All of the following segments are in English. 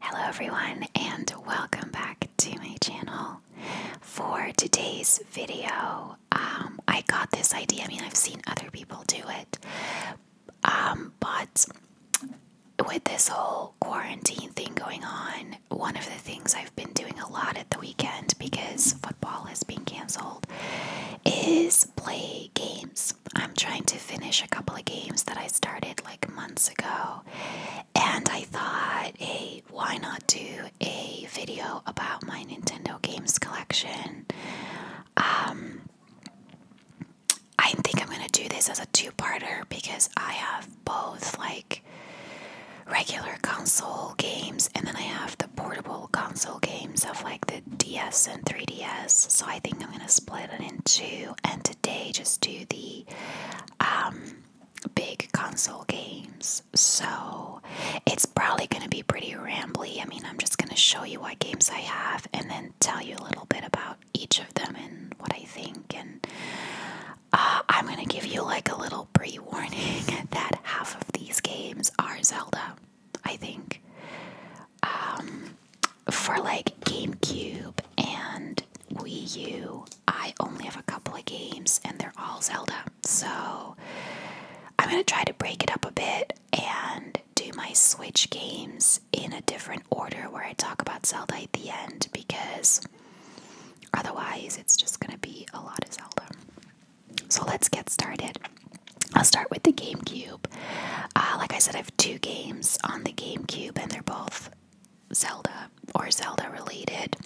Hello everyone and welcome back to my channel. For today's video, um, I got this idea. I mean, I've seen other people do it, um, but with this whole quarantine thing going on, one of the things I've been doing a lot at the weekend because football has been canceled is play games. I'm trying to finish a couple of games that I started months ago, and I thought, hey, why not do a video about my Nintendo games collection? Um, I think I'm gonna do this as a two-parter because I have both like regular console games and then I have the portable console games of like the DS and 3DS. So I think I'm gonna split it in two and Day, just do the um, big console games. So it's probably going to be pretty rambly. I mean, I'm just going to show you what games I have and then tell you a little bit about each of them and what I think. And uh, I'm going to give you like a little pre warning that half of these games are Zelda, I think. Um, for like GameCube and Wii U, I only have a couple of games and they're all Zelda. So I'm going to try to break it up a bit and do my Switch games in a different order where I talk about Zelda at the end because otherwise it's just going to be a lot of Zelda. So let's get started. I'll start with the GameCube. Uh, like I said, I have two games on the GameCube, and they're both Zelda or Zelda related.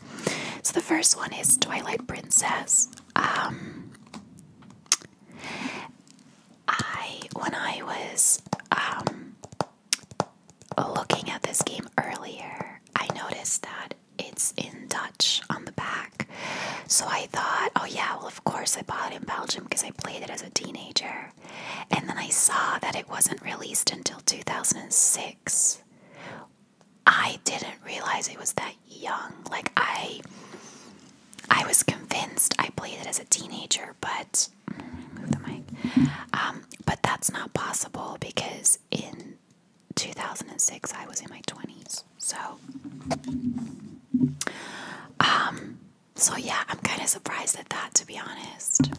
So the first one is Twilight Princess. Um, I when I was um, looking at this game earlier, I noticed that it's in Dutch on the back. So I thought, oh yeah, well of course I bought it in Belgium because I played it as a teenager. And then I saw that it wasn't released until 2006. I didn't realize it was that young. Like I I was convinced I played it as a teenager, but move the mic. Um, but that's not possible because in 2006 I was in my 20s. So um so yeah, I'm kind of surprised at that to be honest.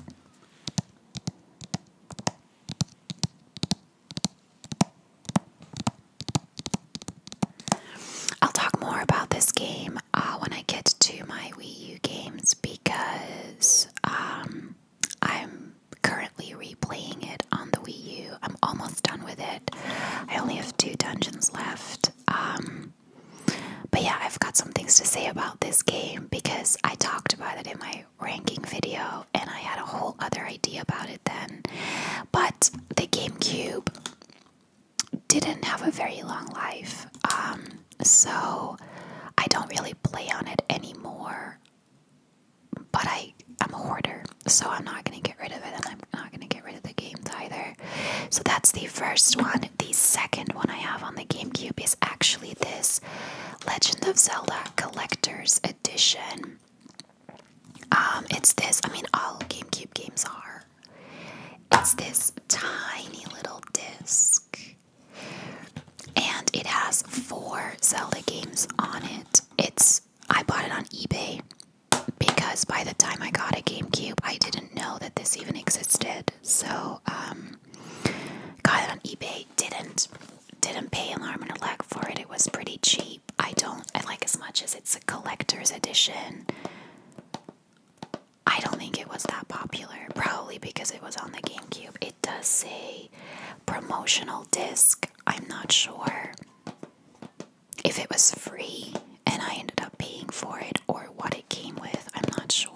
I'll talk more about this game uh, when I get to my Wii U games because um, I'm currently replaying it on the Wii U. I'm almost done with it. I only have two dungeons left. Um, but yeah, I've got some things to say about this game because I talked about it in my ranking video and I had a whole other idea about it then. But the GameCube didn't have a very long life, um, so I don't really play on it anymore. But I am a hoarder, so I'm not going to get rid of it and I'm not going to get rid of the games either. So that's the first one. The second one I have on the GameCube is actually this Legend of Zelda Collector's Edition. Um, it's this, I mean, all GameCube games are. It's this tiny little disc, and it has four Zelda games on it. It's I bought it on eBay because by the time I got a GameCube, I didn't know that this even existed. So um, got it on eBay. Didn't didn't pay an arm and a leg for it. It was pretty cheap. I don't. I like as much as it's a collector's edition. I don't think it was that popular. Probably because it was on the GameCube. It does say promotional disc. I'm not sure if it was free and I ended up paying for it or what it came with. I'm not sure.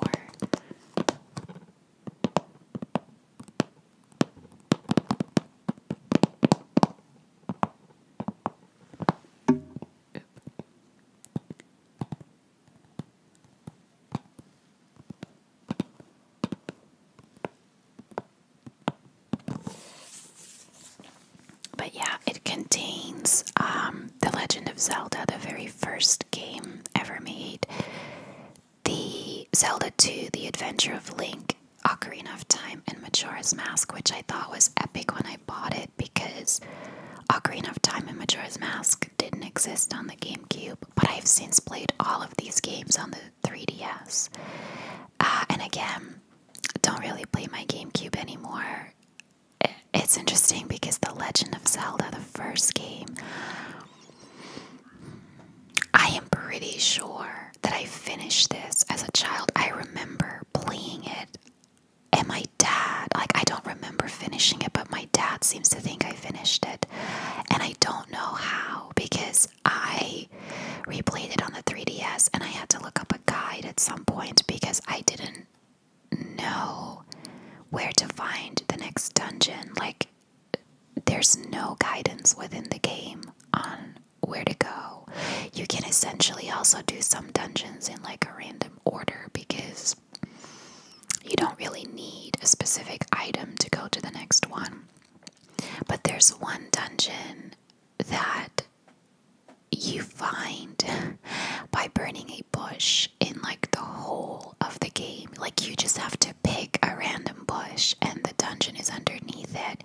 But yeah, it contains um, The Legend of Zelda, the very first game ever made. The Zelda 2, The Adventure of Link, Ocarina of Time, and Majora's Mask, which I thought was epic when I bought it because Ocarina of Time and Majora's Mask didn't exist on the GameCube, but I've since played all of these games on the 3DS. Uh, and again, don't really play my GameCube anymore. It's interesting because The Legend of Zelda, the first game, I am pretty sure that I finished this as a child. I remember playing it, and my dad, like, I don't remember finishing it, but my dad seems to think I finished it. And I don't know how because I replayed it on the 3DS and I had to look up a guide at some point because I didn't know where to find the next dungeon. Like, there's no guidance within the game on where to go. You can essentially also do some dungeons in like a random order because you don't really need a specific item to go to the next one. But there's one dungeon that you find by burning a bush in like the whole of the game. Like you just have to pick a random bush and the dungeon is underneath it.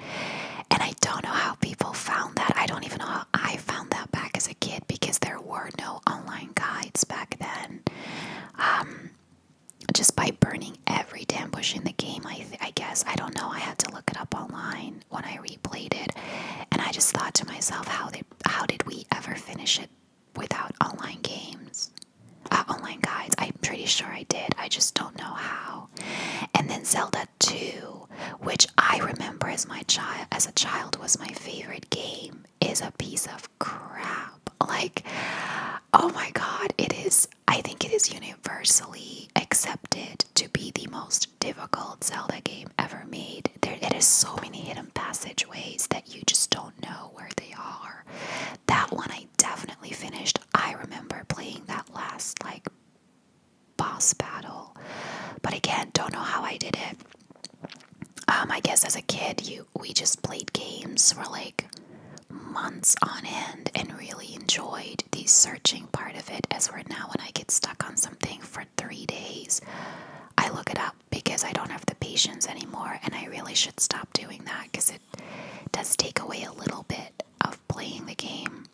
And I don't know how people found that. I don't even know how I found that back as a kid because there were no online guides back then. Um just by burning every damn bush in the game, I, I guess. I don't know. I had to look it up online when I replayed it. And I just thought to myself, how did, how did we ever finish it without online games, uh, online guides. I'm pretty sure I did. I just don't know how. And then Zelda 2, which I remember as my child, as a child, was my favorite game, is a piece of crap. Like, oh my God, it is. I think it is universally accepted to be the most difficult Zelda game ever made. There, it has so many hidden passageways that you just don't know where they are. That one I definitely finished. I remember playing that last like boss battle. But again, don't know how I did it. Um, I guess as a kid, you we just played games for like months on end and really enjoyed the searching part of it. As we're now, when I get stuck on something for three days, I look it up because I don't have the patience anymore, and I really should stop doing that because it does take away a little bit of playing the game.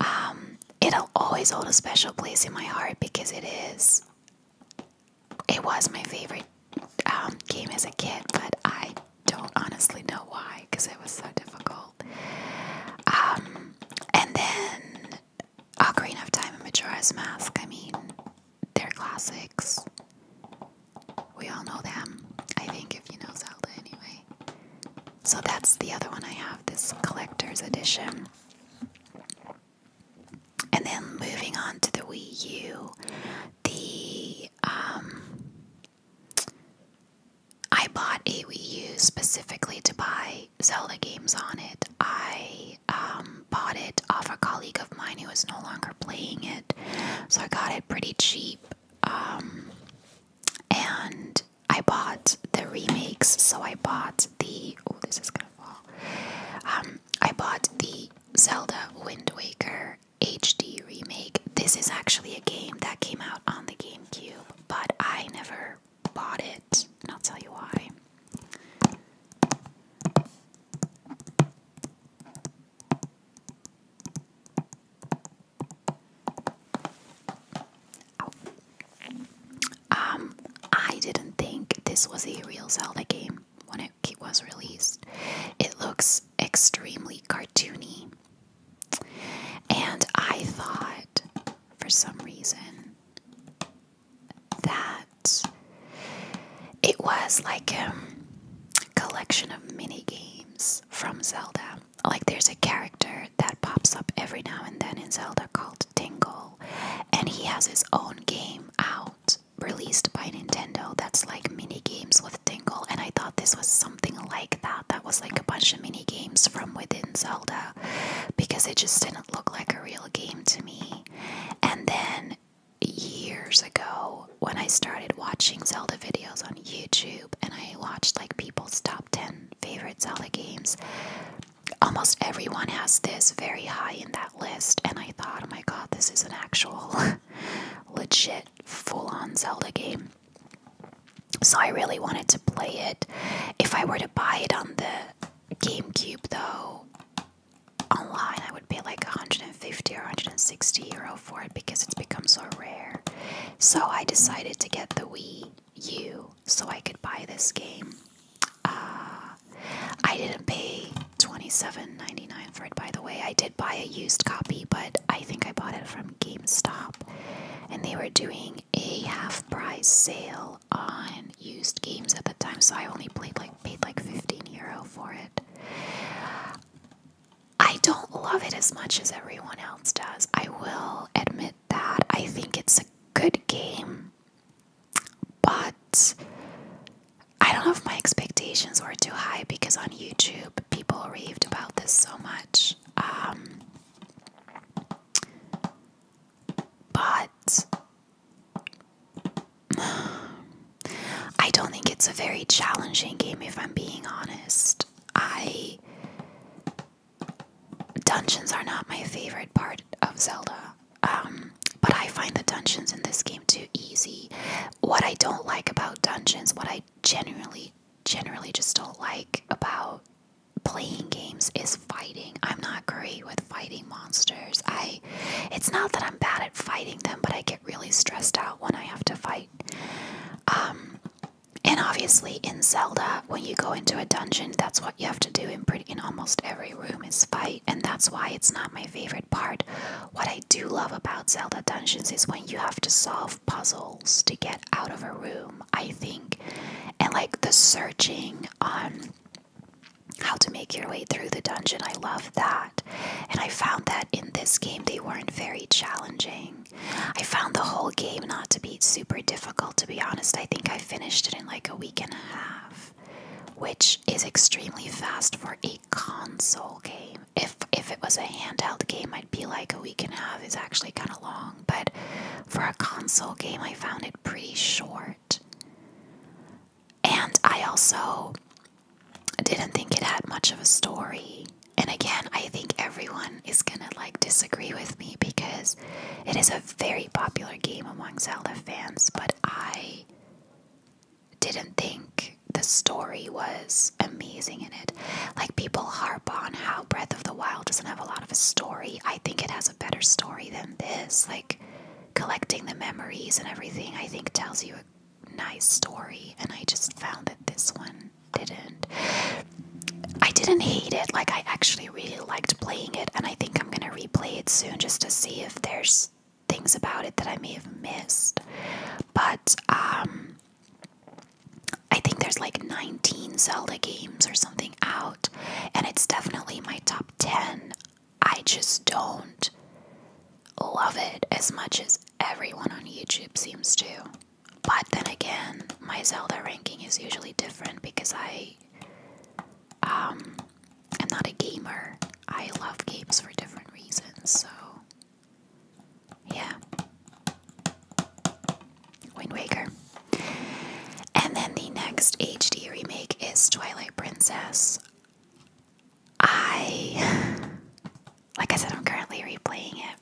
Um, it'll always hold a special place in my heart because it is. It was my favorite um, game as a kid, but I don't honestly know why because it was so difficult. Um, and then Ocarina of Time and Majora's Mask. I mean, they're classics. We all know them. I think if you know Zelda anyway. So that's the other one I have, this collector's edition. And then moving on to the Wii U, the um I bought a Wii U specifically to buy Zelda games on it. I I um, bought it off a colleague of mine who was no longer playing it, so I got it pretty cheap. Um, and I bought the remakes, so I bought the oh, this is gonna fall. Um, I bought the Zelda Wind Waker HD remake. This is actually a game that came out on the GameCube, but I never bought it, and I'll tell you why. Um, I didn't think this was a real Zelda game when it was released. It looks extremely cartoony. And I thought, for some reason, that it was like um, a collection of mini games from Zelda. Like, there's a character that pops up every now and then in Zelda called Tingle, and he has his own game out released by Nintendo that's like mini games with Tingle. And I thought this was something like that, that was like a bunch of mini games from within Zelda because it just didn't look like a real game to me. And then years ago when I started watching Zelda videos on YouTube and I watched like people's top 10 favorite Zelda games. Almost everyone has this very high in that list, and I thought, oh my god, this is an actual legit full on Zelda game. So I really wanted to play it. If I were to buy it on the GameCube, though, online I would pay like 150 or 160 euro for it because it's become so rare. So I decided to get the Wii U so I could buy this game. Uh, I didn't pay 27.99 for it by the way. I did buy a used copy, but I think I bought it from GameStop and they were doing a half price sale on used games at the time, so I only played like paid like 15 euro for it. I don't love it as much as everyone else does. I will admit that. I think it's a good game, but I don't know if my expectations were too high because on YouTube people raved about this so much. Um, but I don't think it's a very challenging game if I'm being honest. I dungeons are not my favorite part of Zelda. Um but I find the dungeons in this game too easy. What I don't like about dungeons, what I genuinely generally just don't like about playing games is fighting. I'm not great with fighting monsters. I it's not that I'm bad at fighting them, but I really stressed out when I have to fight. Um, and obviously, in Zelda, when you go into a dungeon, that's what you have to do in pretty in almost every room is fight, and that's why it's not my favorite part. What I do love about Zelda dungeons is when you have to solve puzzles to get out of a room. I think, and like the searching on how to make your way through the dungeon, I love that, and I found that in this game they weren't very challenging. I found the whole game not to be super difficult, to be honest. I think I finished it in like a week and a half, which is extremely fast for a console game. If if it was a handheld game, I'd be like a week and a half is actually kind of long, but for a console game, I found it pretty short. And I also didn't think it had much of a story. And again, I think everyone is gonna like disagree with me because it is a very popular game among Zelda fans, but I didn't think the story was amazing in it. Like people harp on how Breath of the Wild doesn't have a lot of a story. I think it has a better story than this. Like collecting the memories and everything, I think tells you nice story, and I just found that this one didn't. I didn't hate it, like, I actually really liked playing it, and I think I'm gonna replay it soon just to see if there's things about it that I may have missed. But, um, I think there's like 19 Zelda games or something out, and it's definitely my top 10. I just don't love it as much as everyone on YouTube seems to. But then again, my Zelda ranking is usually different because I um am not a gamer. I love games for different reasons, so yeah. Wind Waker. And then the next HD remake is Twilight Princess. I Like I said, I'm currently replaying it.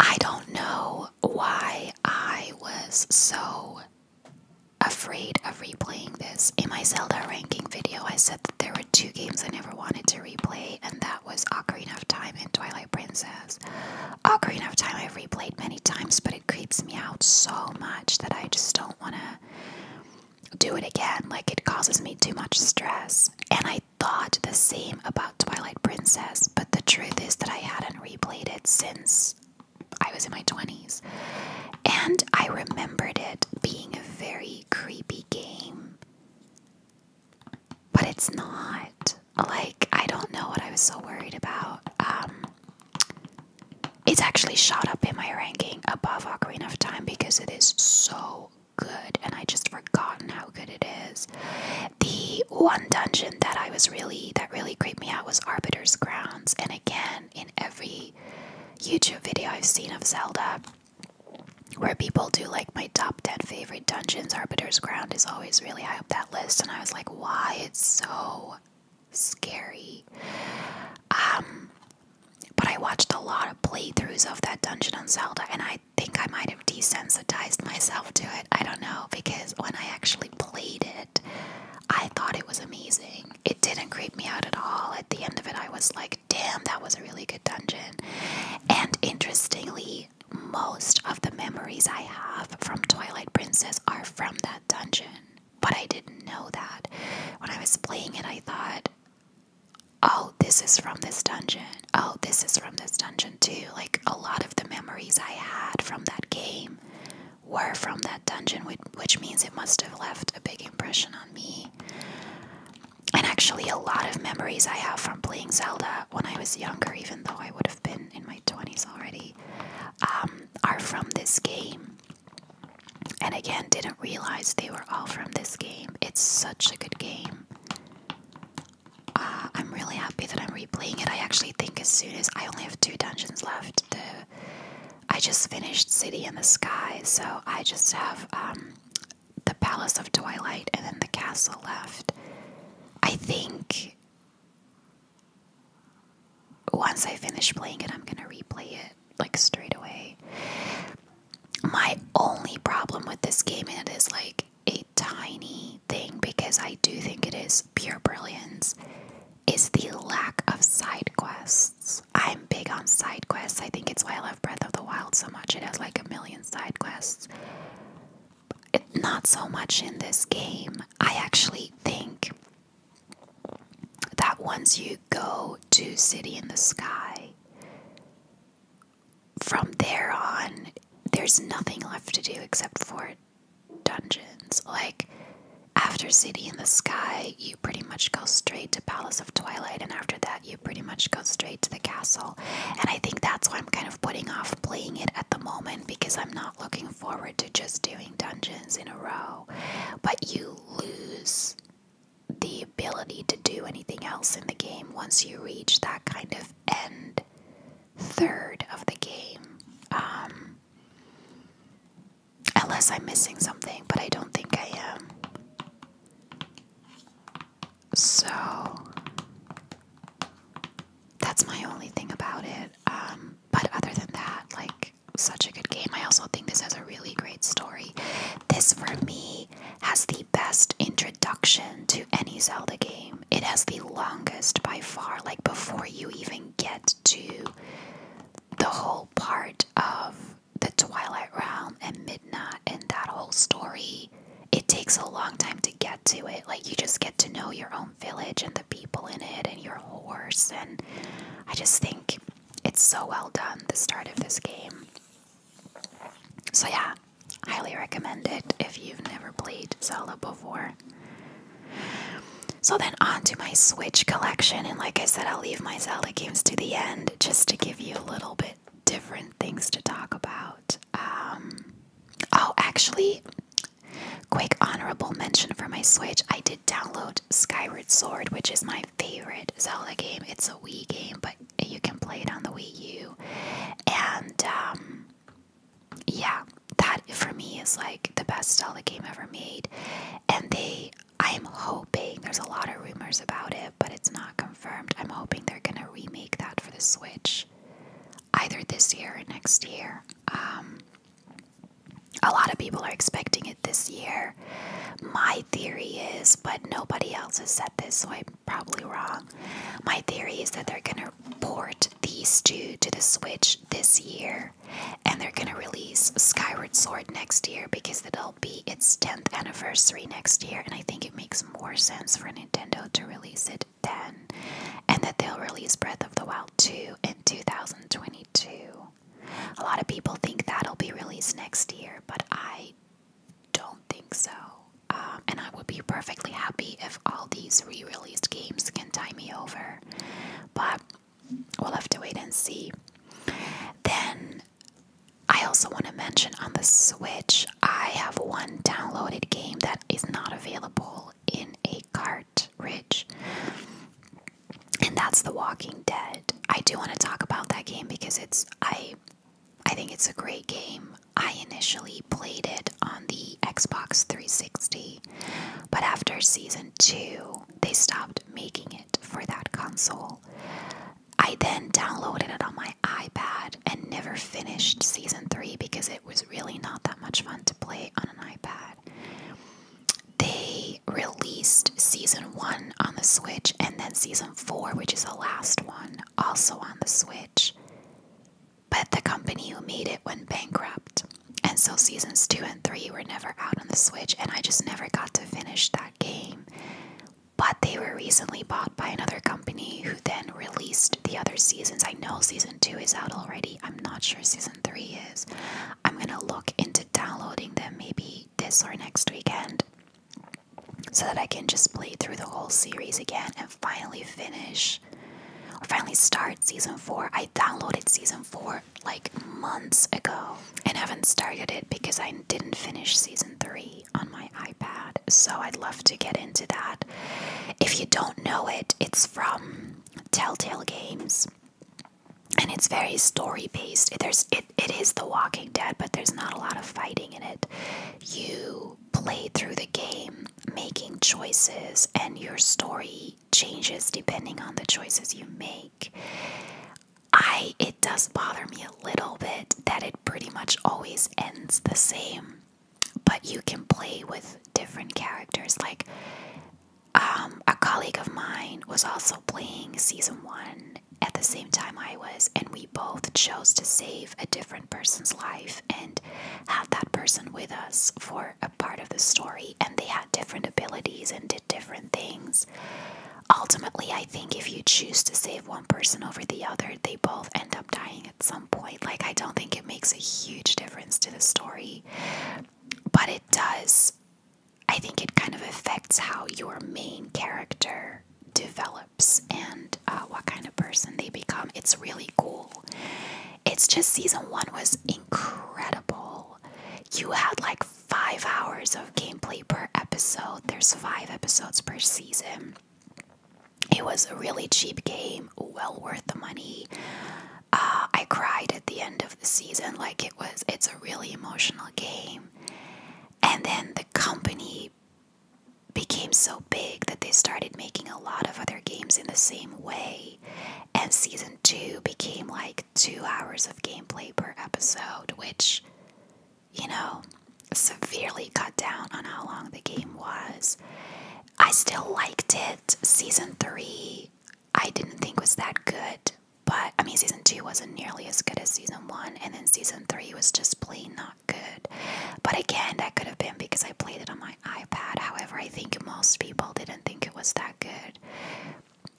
I don't know why I was so afraid of replaying this. In my Zelda ranking video, I said that there were two games I never wanted to replay, and that was Ocarina of Time and Twilight Princess. Ocarina of Time i replayed many times, but it creeps me out so much that I just don't want to do it again. Like, it causes me too much stress. And I thought the same about Twilight Princess, but the truth is that I hadn't replayed it since I was in my 20s. And I remembered it being a very creepy game. But it's not. Like, I don't know what I was so worried about. Um, it's actually shot up in my ranking above Ocarina of Time because it is so good and I just forgotten how good it is. The one dungeon that I was really that really creeped me out was Arbiter's Grounds and again in every YouTube video I've seen of Zelda where people do like my top 10 favorite dungeons, Arbiter's Ground is always really high up that list. And I was like, why? It's so scary. Um, but I watched a lot of playthroughs of that dungeon on Zelda, and I think I might have desensitized myself to it. I don't know, because when I actually played it, I thought it was amazing. It didn't creep me out at all. At the end of it, I was like, damn, that was a really good dungeon. And interestingly, most of the memories I have from Twilight Princess are from that dungeon. But I didn't know that. When I was playing it, I thought, oh, this is from this dungeon. Oh, this is from this dungeon too. Like a lot of the memories I had from that game were from that dungeon, which means it must have left a big impression on me and actually, a lot of memories I have from playing Zelda when I was younger, even though I would have been in my 20s already, um, are from this game. And again, didn't realize they were all from this game. It's such a good game. Uh, I'm really happy that I'm replaying it. I actually think as soon as I only have two dungeons left, the, I just finished City in the Sky, so I just have um, the Palace of Twilight and then the castle left. I think once I finish playing it, I'm gonna replay it like straight away. My only problem with this game, and it is like a tiny thing because I do think it is pure brilliance, is the lack of side quests. I'm big on side quests. I think it's why I love Breath of the Wild so much. It has like a million side quests. not so much in this game. I actually think that once you go to City in the Sky, from there on, there's nothing left to do except for dungeons. Like, after City in the Sky, you pretty much go straight to Palace of Twilight, and after that, you pretty much go straight to the castle. And I think that's why I'm kind of putting off playing it at the moment because I'm not looking forward to just doing dungeons in a row. But you lose the ability to do anything else in the game once you reach that kind of end third of the game. Um, unless I'm missing something, but I don't think I am. So that's my only thing about it. Um, but other than that, like, such a good game. I also think this has a really great story. This, for me, has the best introduction to any Zelda game. It has the longest by far, like, before you even get to the whole part of the Twilight Realm and Midnight and that whole story, it takes a long time to get to it. Like, you just get to know your own village and the people in it and your horse. And I just think it's so well done, the start of this game. So, yeah, highly recommend it if you've never played Zelda before. So then on to my Switch collection, and like I said, I'll leave my Zelda games to the end just to give you a little bit different things to talk about. Um, oh, actually, quick honorable mention for my Switch. I did download Skyward Sword, which is my favorite Zelda game. It's a Wii game, but you can play it on the Wii U. And um, yeah, that for me is like the best Zelda game ever made. And they, I'm hoping, there's a lot of rumors about it, but it's not I'm hoping they're gonna remake that for the Switch, either this year or next year. Um, a lot of people are expecting it this year. My theory is, but nobody else has said this, so I'm probably wrong. My theory is that they're gonna port these two to the Switch this year, and they're gonna release Skyward Sword next year because it'll be its 10th anniversary next year, and I think it makes more sense for Nintendo to release it then, and that they'll release Breath of the Wild 2 in 2022. A lot of people think that'll be released next year, but I don't think so. Um, and I would be perfectly happy if all these re released games can tie me over, but we'll have to wait and see. Then I also want to mention on the Switch, I have one downloaded game that is not available in a cart, Rich, and that's The Walking Dead. I do want to talk about that game because it's I I think it's a great game. I initially played it on the Xbox 360, but after season 2, they stopped making it for that console. I then downloaded it on my iPad and never finished season three because it was really not that much fun to play on an iPad. They released season one on the Switch and then season four, which is the last one, also on the Switch. But the company who made it went bankrupt. And so seasons two and three were never out on the Switch, and I just never got to finish that game but they were recently bought by another company who then released the other seasons. I know season two is out already. I'm not sure season three is. I'm gonna look into downloading them maybe this or next weekend so that I can just play through the whole series again and finally finish or finally start season four. I downloaded season four like months ago and haven't started it because I didn't finish season three on my iPad, so I'd love to get into that. If you don't know it, it's from Telltale Games. And it's very story based. There's it, it is The Walking Dead, but there's not a lot of fighting in it. You play through the game making choices and your story changes depending on the choices you make. I it does bother me a little bit that it pretty much always ends the same, but you can play with different characters. Like, um, a colleague of mine was also playing season one at the same time I was, and we both chose to save a different person's life and had that person with us for a part of the story. And they had different abilities and did different things. Ultimately, I think if you choose to save one person over the other, they both end up dying at some point. Like, I don't think it makes a huge difference to the story, but it does. I think it kind of affects how your main character develops and uh, what kind of person they become. It's really cool. It's just season one was incredible. You had like five hours of gameplay per episode, there's five episodes per season. It was a really cheap game, well worth the money. Uh, I cried at the end of the season, like it was. It's a really emotional game, and then the company became so big that they started making a lot of other games in the same way. And season two became like two hours of gameplay per episode, which you know, severely cut down on how long the game was. I still liked it. Season 3, I didn't think was that good, but I mean, season 2 wasn't nearly as good as season 1, and then season 3 was just plain not good. But again, that could have been because I played it on my iPad. However, I think most people didn't think it was that good.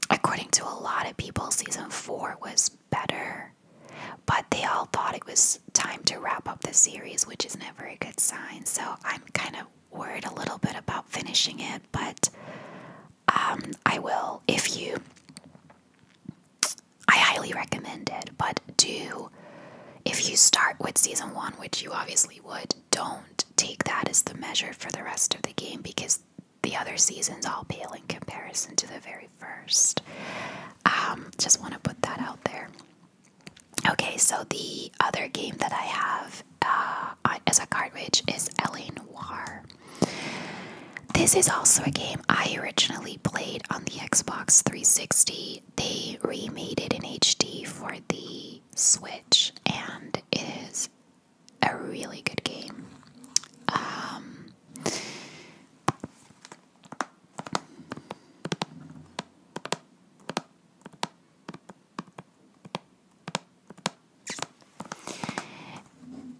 According to a lot of people, season 4 was better, but they all thought it was time to wrap up the series, which is never a good sign. So I'm kind of worried a little bit about finishing it, but um, I will if you. I highly recommend it, but do if you start with season one, which you obviously would, don't take that as the measure for the rest of the game because the other seasons all pale in comparison to the very 1st. Um, just want to put that out there. Okay, so the other game that I have uh, as a cartridge is *Ellen Noir. This is also a game I originally played on the Xbox 360. They remade it in HD for the Switch, and it is a really good game. Um,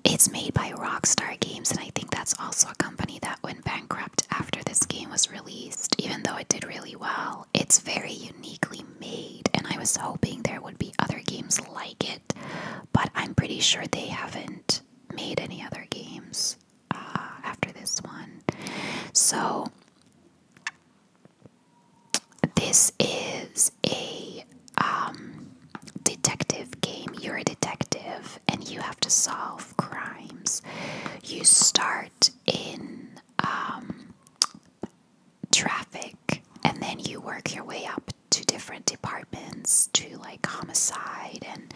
it's made by Rockstar Games, and I think that's also a company that went bankrupt after this game was released, even though it did really well. It's very uniquely made, and I was hoping there would be other games like it, but I'm pretty sure they haven't made any other games. Uh, after this one. So, this is a um, detective game. You're a detective and you have to solve crimes. You start in um, traffic and then you work your way up to different departments to like homicide and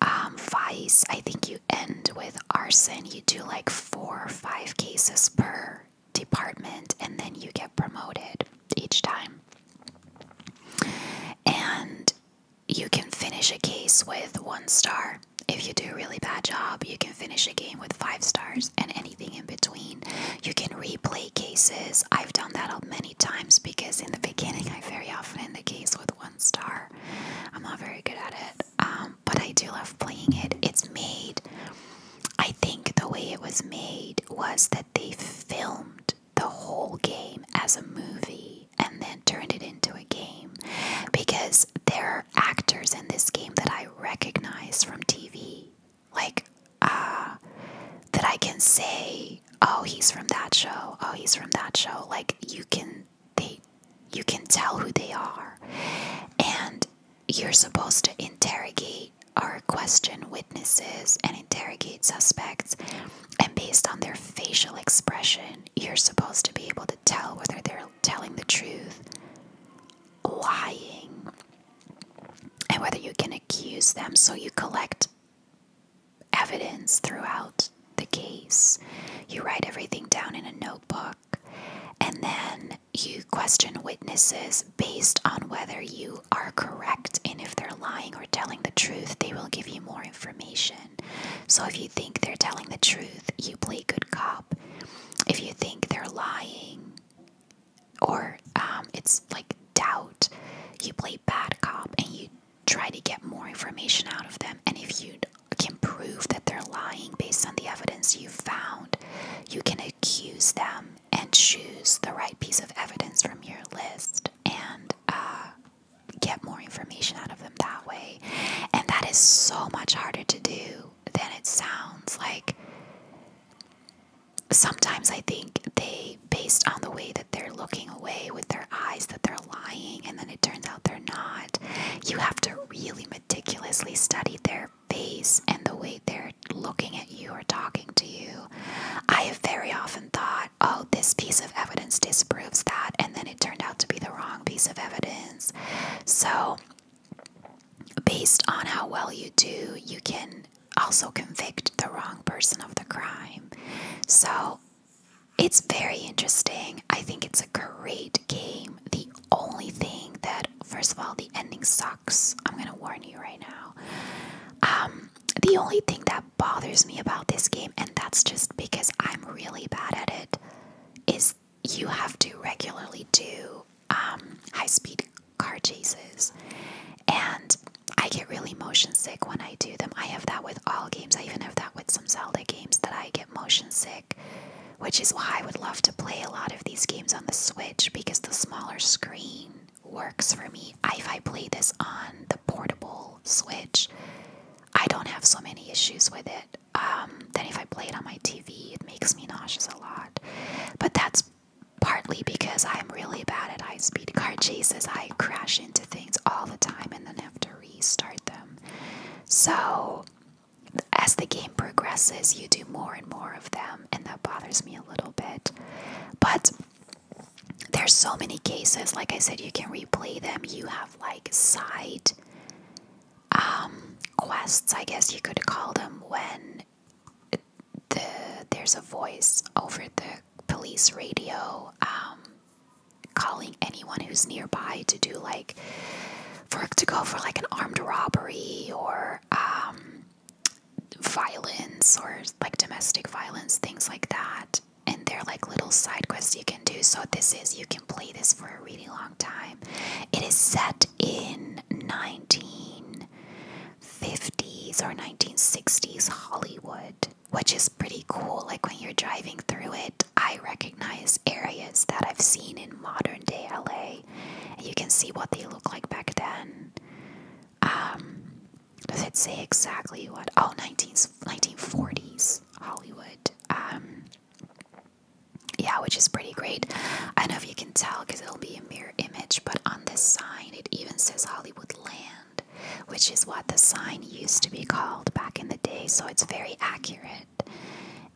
um, vice i think you end with arson you do like four or five cases per department and then you get promoted each time and you can finish a case with one star if you do a really bad job you can finish a game with five stars and anything in between you can replay cases i've done that many times because in the beginning i very often end the case with one star I'm not very good at it, um, but I do love playing it. It's made, I think the way it was made was that they filmed the whole game as a movie and then turned it into a game because there are actors in this game that I recognize from TV. Like, uh, that I can say, oh, he's from that show, oh, he's from that show. Like, you can they you can tell who they are and you're supposed to interrogate or question witnesses and interrogate suspects and based on their facial expression you're supposed to be able to tell whether they're telling the truth lying and whether you can accuse them so you collect evidence throughout the case. You write everything down in a notebook and then you question witnesses based on whether you are correct and if they're lying or telling the truth, they will give you more information. So if you think they're telling the truth, you play good cop. If you think they're lying or um, it's like doubt, you play bad cop and you try to get more information out of them. And if you can prove that they're lying based on the evidence you found, you can accuse them and choose the right piece of evidence from your list and uh, get more information out of them that way. And that is so much harder to do than it sounds. Like, sometimes I think they, based on the way that they're looking away with their eyes, that they're lying. And then it turns out they're not. You have to really meticulously study their face and the way they're looking at you or talking to you. I have very often thought, oh, this piece of evidence disproves that, and then it turned out to be the wrong piece of evidence. So, based on how well you do, you can also convict the wrong person of the crime. So, it's very interesting. I think it's a great game. The only thing that, first of all, the ending sucks. I'm gonna warn you right now. Um, the only thing that bothers me about this game, and that's just because I'm really bad at it, is you have to regularly do um, high speed car chases. And I get really motion sick when I do them. I have that with all games. I even have that with some Zelda games that I get motion sick, which is why I would love to play a lot of these games on the Switch because the smaller screen works for me. If I play this on the portable Switch, I don't have so many issues with it. Um, then if I play it on my TV, it makes me nauseous a lot. But that's partly because I'm really bad at high speed car chases. I crash into things all the time and then have to restart them. So, as the game progresses, you do more and more of them, and that bothers me a little bit. But there's so many cases. Like I said, you can replay them. You have like side um, quests, I guess you could call them, when there's a voice over the police radio. Um, calling anyone who's nearby to do like for to go for like an armed robbery or um, violence or like domestic violence things like that and they're like little side quests you can do so this is you can play this for a really long time it is set in 1950s or 1960s hollywood which is pretty cool like when you're driving through it I recognize areas that I've seen in modern day LA, and you can see what they look like back then. Um, does it say exactly what? Oh, 19, 1940s Hollywood. Um, yeah, which is pretty great. I don't know if you can tell because it'll be a mirror image, but on this sign it even says Hollywood Land, which is what the sign used to be called back in the day, so it's very accurate.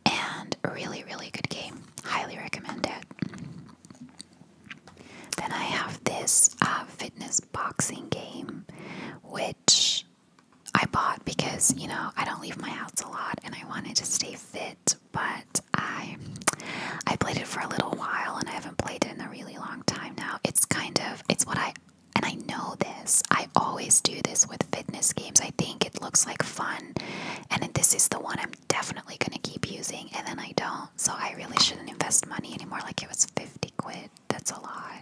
And really, really good game. Highly recommend it. Then I have this uh, fitness boxing game, which I bought because, you know, I don't leave my house a lot and I wanted to stay fit, but I I played it for a little while and I haven't played it in a really long time now. It's kind of it's what I and I know this. I always do this with fitness games. I think it looks like fun, and this is the one I'm definitely gonna keep using, and then I don't. So I really shouldn't invest money anymore. Like it was 50 quid. That's a lot.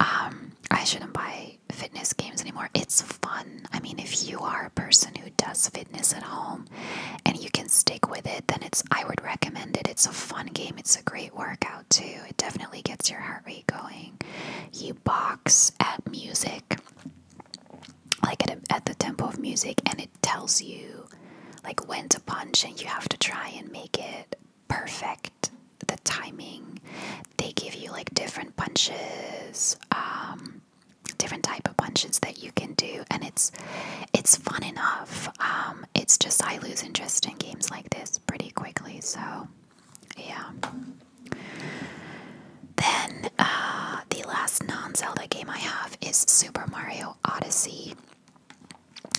Um, I shouldn't buy fitness games anymore. It's fun. I mean, if you are a person who does fitness at home and you can stick with it, then it's I would recommend it. It's a fun game. It's a great workout too. It definitely gets your heart rate going. You box at music, like at, at the tempo of music, and it tells you like when to punch, and you have to try and make it perfect. The timing they give you like different punches, um, different type of punches that you can do, and it's it's fun enough. Um, it's just I lose interest in games like this pretty quickly, so yeah. Then uh, the last non-Zelda game I have is Super Mario Odyssey.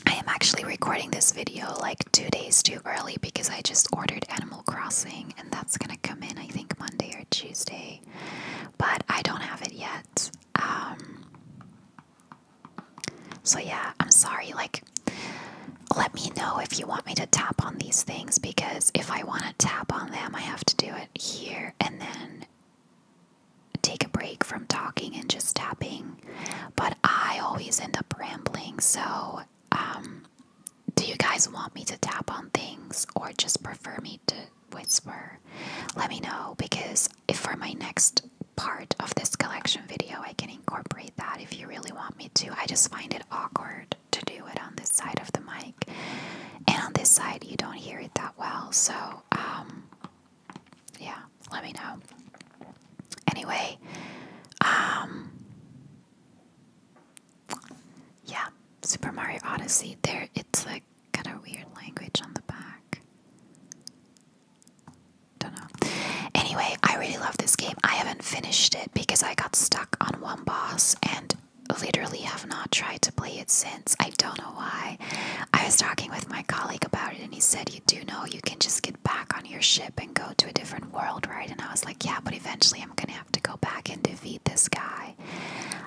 I am actually recording this video like two days too early because I just ordered Animal Crossing and that's gonna come in I think Monday or Tuesday, but I don't have it yet. Um, so yeah, I'm sorry. Like let me know if you want me to tap on these things because if I want to tap on them, I have to do it here and then take a break from talking and just tapping. But I always end up rambling, so um, do you guys want me to tap on things or just prefer me to whisper? Let me know because if for my next part of this collection video, I can incorporate that if you really want me to. I just find it awkward to do it on this side of the mic, and on this side, you don't hear it that well. So, um, yeah, let me know. Anyway, um, yeah, Super Mario Odyssey, there it's like got a weird language on the back. Don't know. Anyway, I really love this game. I haven't finished it because I got stuck on one boss and literally have not tried to play it since. I don't know why. I was talking with my colleague about it and he said, You do know you can just get back on your ship and go to a different world, right? And I was like, Yeah, but eventually I'm gonna have to go back and defeat this guy.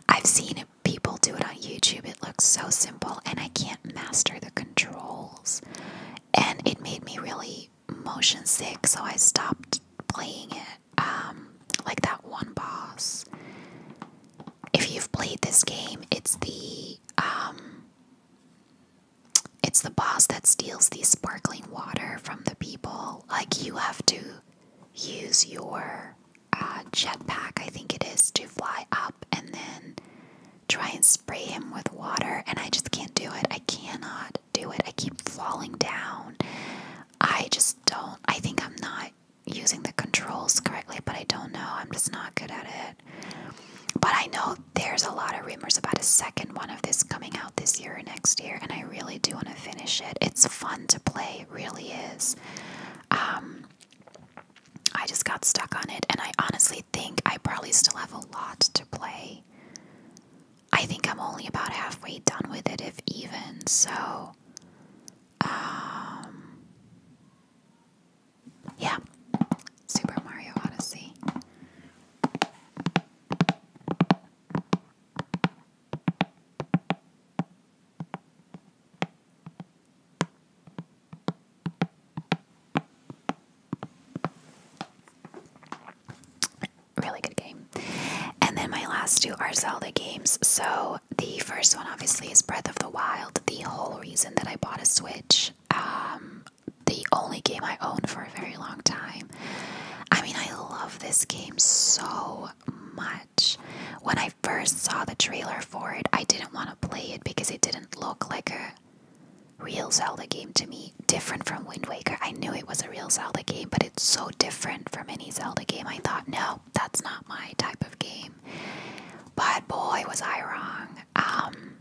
I've seen people do it on YouTube, it looks so simple, and I can't master the controls. And it made me really motion sick, so I stopped playing it. Um, like that one boss. If you've played this game, it's the um, it's the boss that steals the sparkling water from the people. Like you have to use your uh, jetpack, I think it is, to fly up and then try and spray him with water. And I just can't do it. I cannot do it. I keep falling down. I just don't. I think I'm not using the controls correctly, but I don't know. I'm just not good at it. But I know there's a lot of rumors about a second one of this coming out this year or next year, and I really do want to finish it. It's fun to play, it really is. Um, I just got stuck on it, and I honestly think I probably still have a lot to play. I think I'm only about halfway done with it, if even. So, um, yeah, Super Mario Odyssey really good game. And then my last two are Zelda games. So the first one, obviously, is Breath of the Wild. The whole reason that I bought a Switch, um, the only game I own for a very long time. I mean, I love this game so much. When I first saw the trailer for it, I didn't want to play it because it didn't look like a real Zelda game to me different from Wind Waker. I knew it was a real Zelda game, but it's so different from any Zelda game. I thought, no, that's not my type of game. But boy, was I wrong. Um,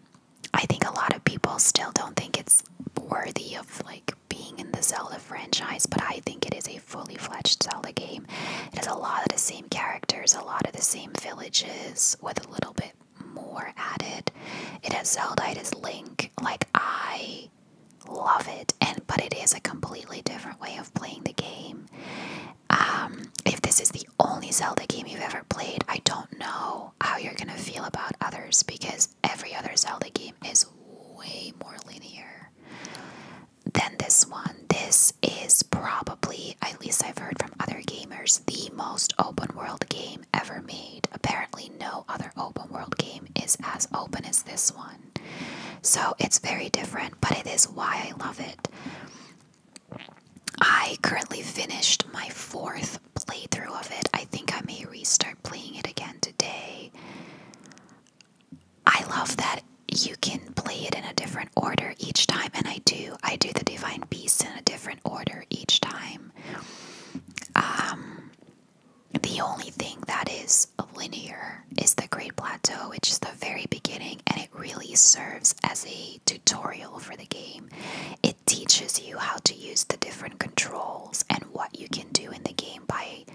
I think a lot of people still don't think it's worthy of like being in the Zelda franchise, but I think it is a fully fledged Zelda game. It has a lot of the same characters, a lot of the same villages, with a little bit more added. It has Zelda, it has Link. Like, I love it, and but it is a completely different way of playing the game. Um, if this is the only Zelda game you've ever played, I don't know how you're gonna feel about others because every other Zelda game is way more linear than this one. This is probably, at least I've heard from other gamers, the most open world game ever made. Apparently, no other open world game is as open as this one. So it's very different, but it is why I love it. I currently finished my fourth playthrough of it. I think I may restart playing it again today. I love that you can play it in a different order each time, and I do. I do the Divine Beast in a different order each time. Um, the only thing that is linear is the Great Plateau, which is the very beginning, and it really serves as a tutorial for the game. It teaches you how to use the different controls and what you can do in the game by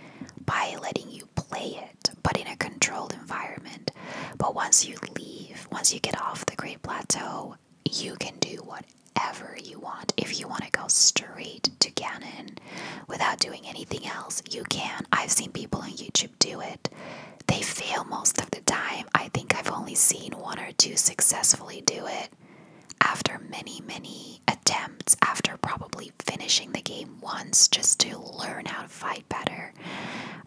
by letting you play it, but in a controlled environment. But once you leave, once you get off the Great Plateau, you can do what whatever you want. If you want to go straight to Canon without doing anything else, you can. I've seen people on YouTube do it. They fail most of the time. I think I've only seen one or two successfully do it after many, many attempts, after probably finishing the game once just to learn how to fight better.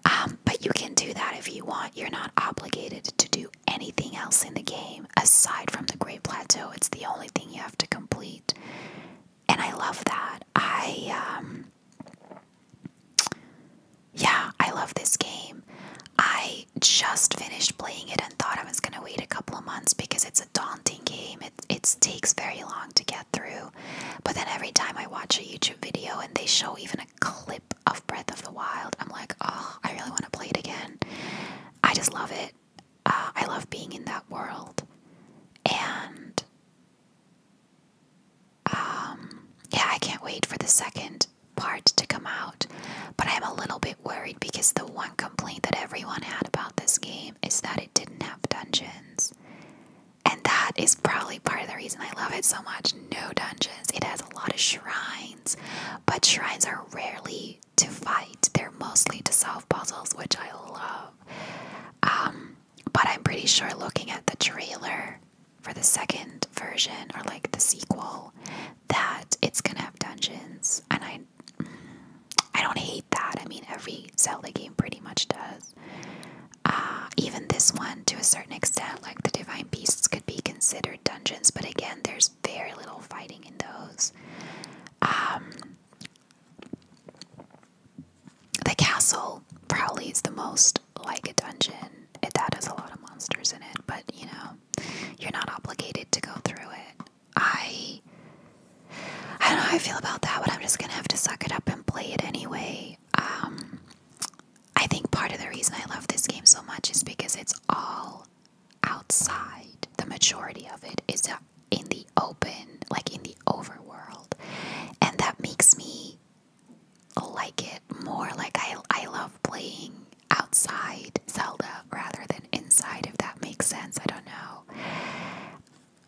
Um, but you can do that if you want. You're not obligated to do anything else in the game aside from the Great Plateau. It's the only thing you have to complete. And I love that. I, um, yeah, I love this game. I just finished playing it and thought I was going to wait a couple of months because it's a daunting game. It, it takes very long to get through. But then every time I watch a YouTube video and they show even a clip of Breath of the Wild, I'm like, oh, I really want to play it again. I just love it. I love being in that world, and um, yeah, I can't wait for the second part to come out. But I'm a little bit worried because the one complaint that everyone had about this game is that it didn't have dungeons. And that is probably part of the reason I love it so much. No dungeons. It has a lot of shrines, but shrines are rarely to fight. They're mostly to solve puzzles, which I love. Um, but I'm pretty sure looking at the trailer for the second version or like the sequel that it's gonna have dungeons and I I don't hate that. I mean every Zelda game pretty much does. Uh, even this one to a certain extent, like the Divine Beasts could be considered dungeons, but again there's very little fighting in those. Um, the castle probably is the most like a dungeon. It that has a lot of monsters in it, but you know, you're not obligated to go through it. I I don't know how I feel about that, but I'm just gonna have to suck it up and play it anyway. Um, I think part of the reason I love this game so much is because it's all outside. The majority of it is in the open, like in the overworld. And that makes me like it more. Like I I love playing outside Zelda rather than inside if that makes sense. I don't know.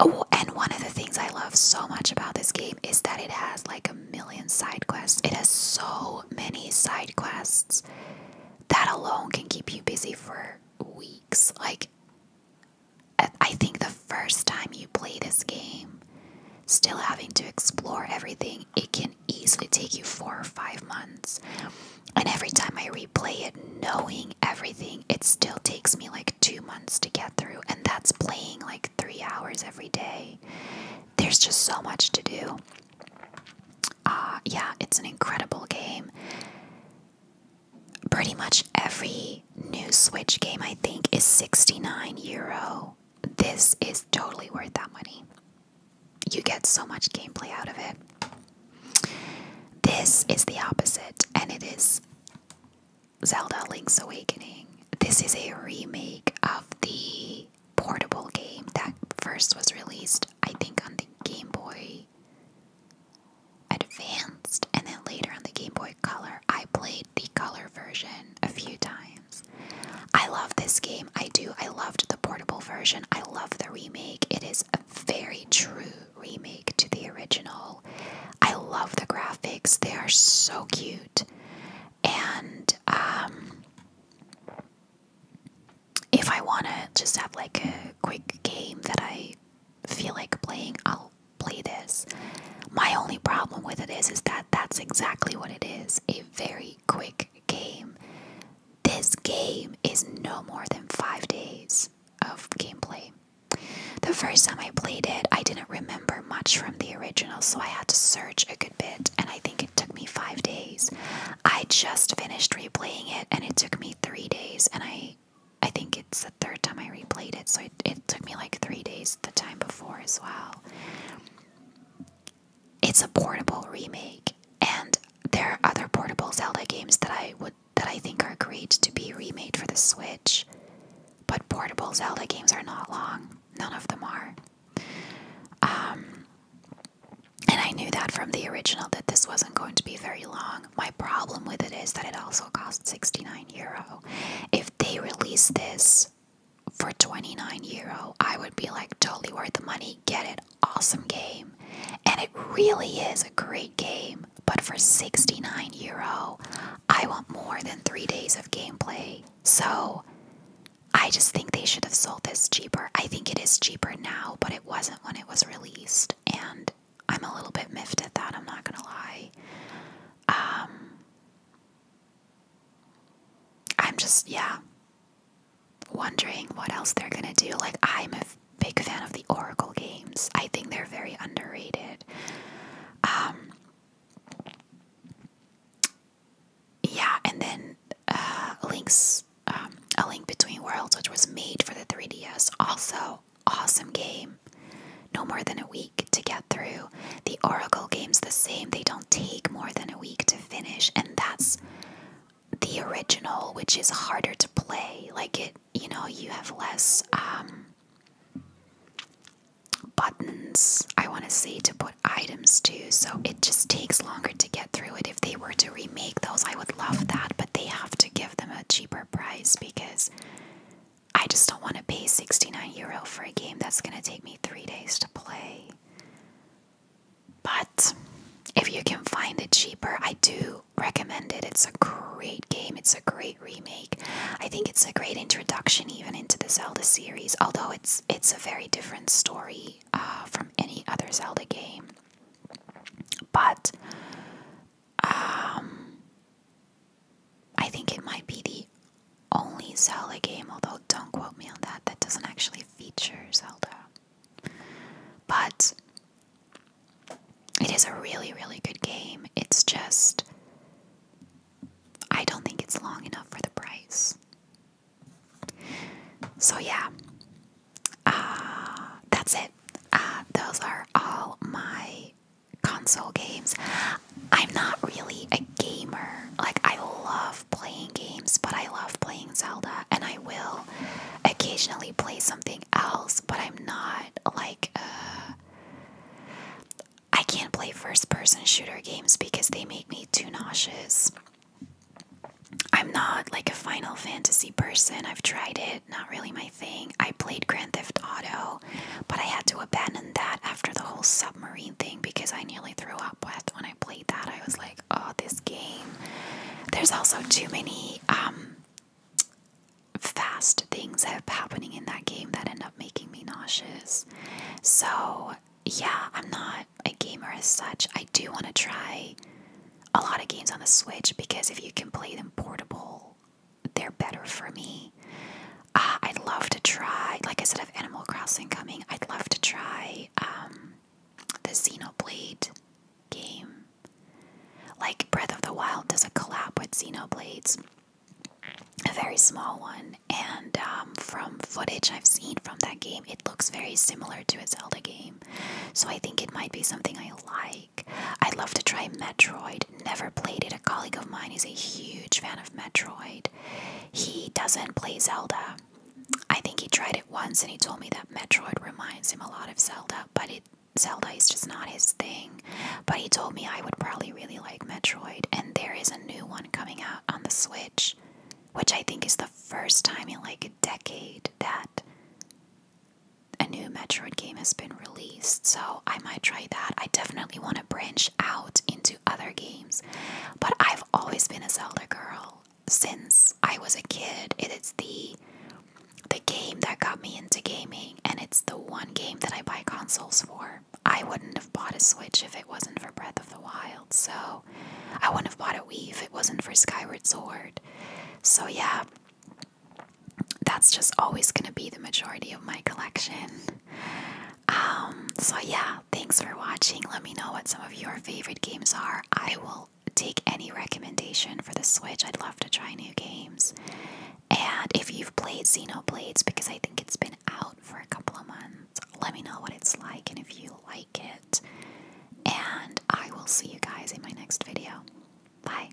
Oh, and one of the things I love so much about this game is that it has like a million side quests. It has so many side quests that alone can keep you busy for weeks. Like I think the first time you play this game, still having to explore everything, it can easily take you four or five months. And every time I replay it, knowing everything, it still takes me like two months to get through. And that's playing like three hours every day. There's just so much to do. Uh, yeah, it's an incredible game pretty much every new Switch game, I think, is 69 euro. This is totally worth that money. You get so much gameplay out of it. This is the opposite, and it is Zelda Link's Awakening. This is a remake of the portable game that first was released, I think, on the Game Boy Advanced, and then later on the Game Boy Color. I played the color version a few times. I love this game. I do. I loved the portable version. I love the remake. It is a very true remake to the original. I love the graphics. They are so cute. And um, if I want to just have like a quick game that I feel like playing, I'll play this. My only problem with it is, is that that's exactly what it is a very quick game. This game is no more than five days of gameplay. The first time I played it, I didn't remember much from the original, so I had to search a good bit, and I think it took me five days. I just finished replaying it, and it took me three days, and I I think it's the third time I replayed it, so it, took me like three days the time before as well. It's a portable remake, and there are other portable Zelda games that I would that I think are great to be remade for the Switch. But portable Zelda games are not long. None of them are. Um, and I knew that from the original that this wasn't going to be very long. My problem with it is that it also costs 69 euro. If they release this for 29 euro, I would be like, totally worth the money, get it, awesome game. And it really is a great game, but for 69 euro, I want more than three days of gameplay. So I just think they should have sold this cheaper. I think it is cheaper now, but it wasn't when it was released. And I'm a little bit miffed at that, I'm not gonna lie. Um, I'm just, yeah, wondering what else they're gonna do. Like, I'm a big fan of the Oracle games, I think they're very underrated. Um, yeah, and then uh, Link's um, A Link Between Worlds, which was made for the 3DS, also awesome game. No more than a week to get through. The Oracle game's the same, they don't take more than a week to finish, and that's the original, which is harder to play. Like it, you know, you have less um, buttons, I want to say, to put items to, so it just takes longer to get through it. If they were to remake those, I would love that, but they have to give them a cheaper price because I just don't want to pay 69 euro for a game that's going to take me three days to play. But if you can find it cheaper, I do recommend it. It's a great game, it's a great remake. I think it's a great introduction even into the Zelda series, although it's it's a very different story uh, from any other Zelda game. But um, I think it might be the only Zelda game, although don't quote me on that, that doesn't actually feature Zelda. But it is a really, really good game. It's just, I don't think it's long enough for the price. So, yeah, uh, that's it. Uh, those are all my console games. I'm not really a gamer. Like, I love playing games, but I love playing Zelda, and I will occasionally play something else, but I'm not like, uh, I can't play first person shooter games because they make me too nauseous. I'm not like a Final Fantasy person. I've tried it not really my thing. I played Grand Theft Auto, but I had to abandon that after the whole submarine thing because I nearly threw up when I played that. I was like, oh, this game. There's also too many um, fast things happening in that game that end up making me nauseous. So, yeah, I'm not a gamer as such. I do want to try a lot of games on the Switch because if you can play them portable they're better for me. Uh, I'd love to try, like I said, I have Animal Crossing coming. I'd love to try um, the Xenoblade game. Like Breath of the Wild does a collab with Xenoblades, a very small one. And um, from footage I've seen from that game, it looks very similar to a Zelda game. So I think it might be something I like. I'd love to try Metroid. Never played it. A colleague of mine is a huge fan of Metroid. He doesn't play Zelda. I think he tried it once and he told me that Metroid reminds him a lot of Zelda, but Zelda is just not his thing. But he told me I would probably really like Metroid, and there is a new one coming out on the Switch, which I think is the first time in like a decade that a new Metroid game has been released, so I might try that. I definitely want to branch out into other games, but I've always been a Zelda girl since I was a kid. It is the the game that got me into gaming, and it's the one game that I buy consoles for. I wouldn't have bought a Switch if it wasn't for Breath of the Wild, so I wouldn't have bought a Wii if it wasn't for Skyward Sword. So yeah, that's just always going to be the majority of my collection. Um, so, yeah, thanks for watching. Let me know what some of your favorite games are. I will take any recommendation for the Switch. I'd love to try new games. And if you've played Xenoblades, because I think it's been out for a couple of months, let me know what it's like and if you like it. And I will see you guys in my next video. Bye.